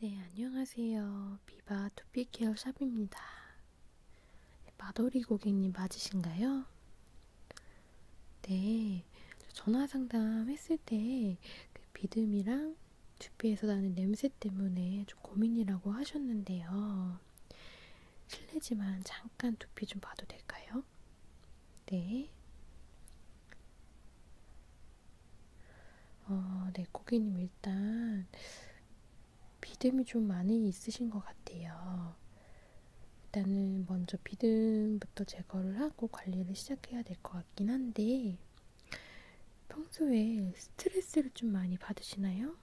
네, 안녕하세요. 비바 두피케어 샵입니다. 네, 마돌이 고객님 맞으신가요? 네, 전화 상담했을 때 그 비듬이랑 두피에서 나는 냄새 때문에 좀 고민이라고 하셨는데요. 실례지만 잠깐 두피 좀 봐도 될까요? 네. 어, 네, 고객님 일단 비듬이 좀 많이 있으신 것 같아요. 일단은 먼저 비듬부터 제거를 하고 관리를 시작해야 될것 같긴 한데, 평소에 스트레스를 좀 많이 받으시나요?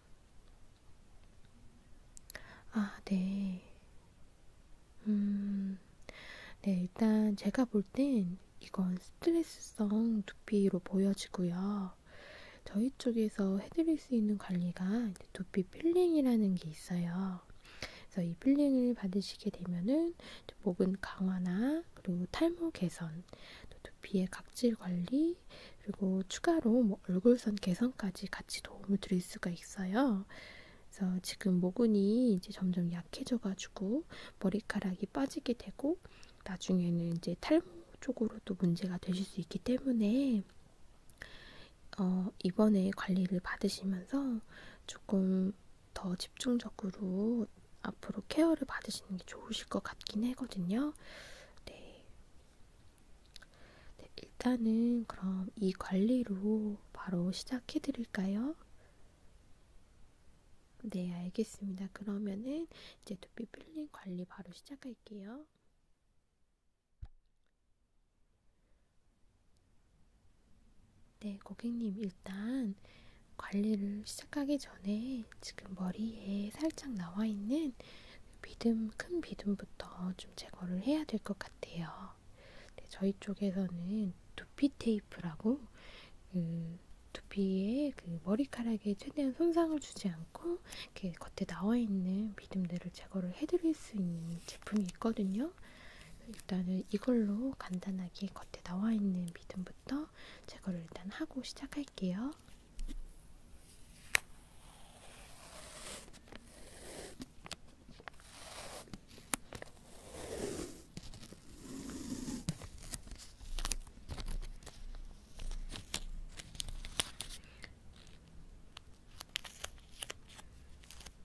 아, 네. 음, 네, 일단 제가 볼 땐 이건 스트레스성 두피로 보여지고요. 저희 쪽에서 해드릴 수 있는 관리가 두피 필링이라는 게 있어요. 그래서 이 필링을 받으시게 되면은 목은 강화나 그리고 탈모 개선, 또 두피의 각질 관리, 그리고 추가로 뭐 얼굴선 개선까지 같이 도움을 드릴 수가 있어요. 그래서 지금 모근이 이제 점점 약해져가지고 머리카락이 빠지게 되고 나중에는 이제 탈모 쪽으로도 문제가 되실 수 있기 때문에 어, 이번에 관리를 받으시면서 조금 더 집중적으로 앞으로 케어를 받으시는 게 좋으실 것 같긴 하거든요. 네. 네 일단은 그럼 이 관리로 바로 시작해 드릴까요? 네, 알겠습니다. 그러면은 이제 두피 필링 관리 바로 시작할게요. 네, 고객님, 일단 관리를 시작하기 전에 지금 머리에 살짝 나와 있는 비듬, 큰 비듬부터 좀 제거를 해야 될 것 같아요. 네, 저희 쪽에서는 두피 테이프라고 그 두피에 그 머리카락에 최대한 손상을 주지 않고 이렇게 겉에 나와 있는 비듬들을 제거를 해드릴 수 있는 제품이 있거든요. 일단은 이걸로 간단하게 겉에 나와 있는 믿음부터 제거를 일단 하고 시작할게요.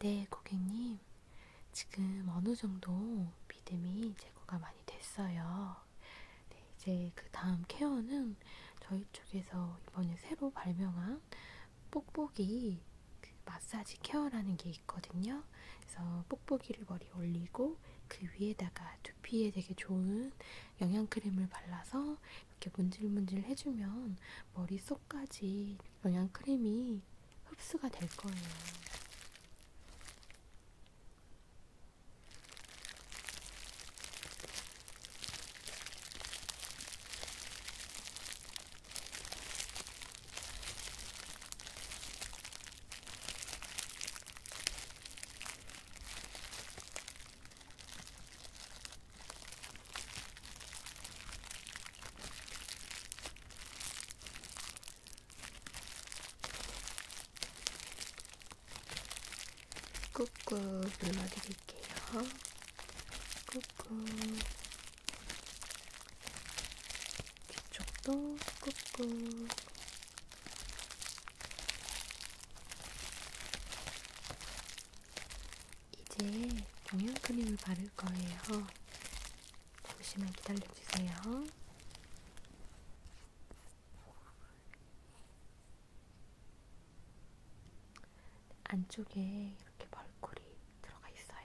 네, 고객님. 지금 어느 정도 믿음이 제거가 많이 됐어요. 네, 이제 그 다음 케어는 저희 쪽에서 이번에 새로 발명한 뽁뽁이 그 마사지 케어라는 게 있거든요. 그래서 뽁뽁이를 머리에 올리고 그 위에다가 두피에 되게 좋은 영양크림을 발라서 이렇게 문질문질 해주면 머릿속까지 영양크림이 흡수가 될 거예요. 꾹꾹 눌러드릴게요. 꾹꾹. 뒤쪽도 꾹꾹. 이제 동양 크림을 바를 거예요. 잠시만 기다려주세요. 안쪽에 이렇게 벌꿀이 들어가 있어요.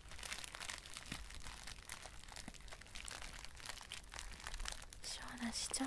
시원하시죠?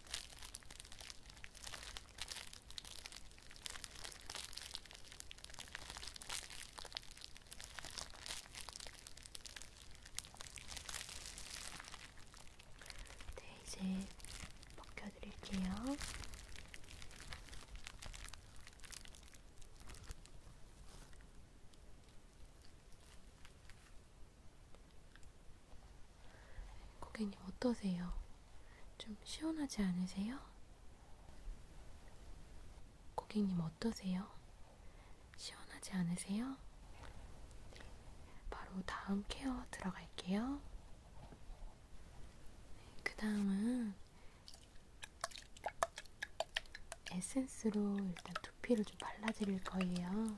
네, 이제 벗겨드릴게요. 고객님 어떠세요? 좀 시원하지 않으세요? 고객님 어떠세요? 시원하지 않으세요? 바로 다음 케어 들어갈게요. 그 다음은 에센스로 일단 두피를 좀 발라드릴 거예요.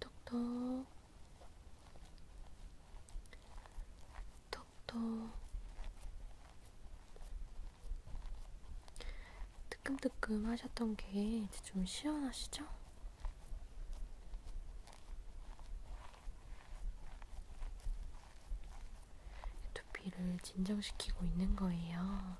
톡톡 톡톡 뜨끔뜨끔 하셨던 게 이제 좀 시원하시죠? 두피를 진정시키고 있는 거예요.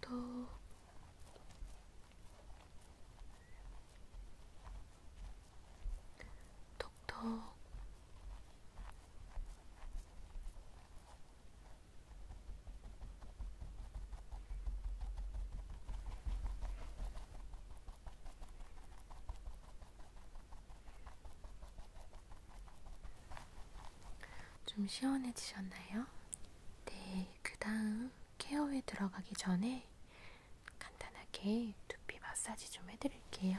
톡톡 톡톡 좀 시원해지셨나요? 네, 그 다음 케어에 들어가기 전에 간단하게 두피 마사지 좀 해드릴게요.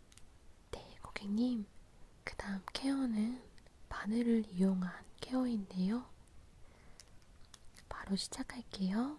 네, 고객님. 그 다음 케어는 바늘을 이용한 케어인데요. 바로 시작할게요.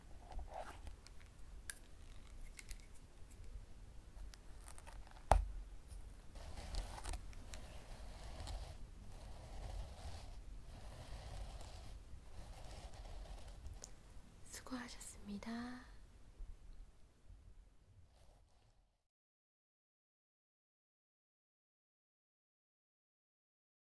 수고하셨습니다.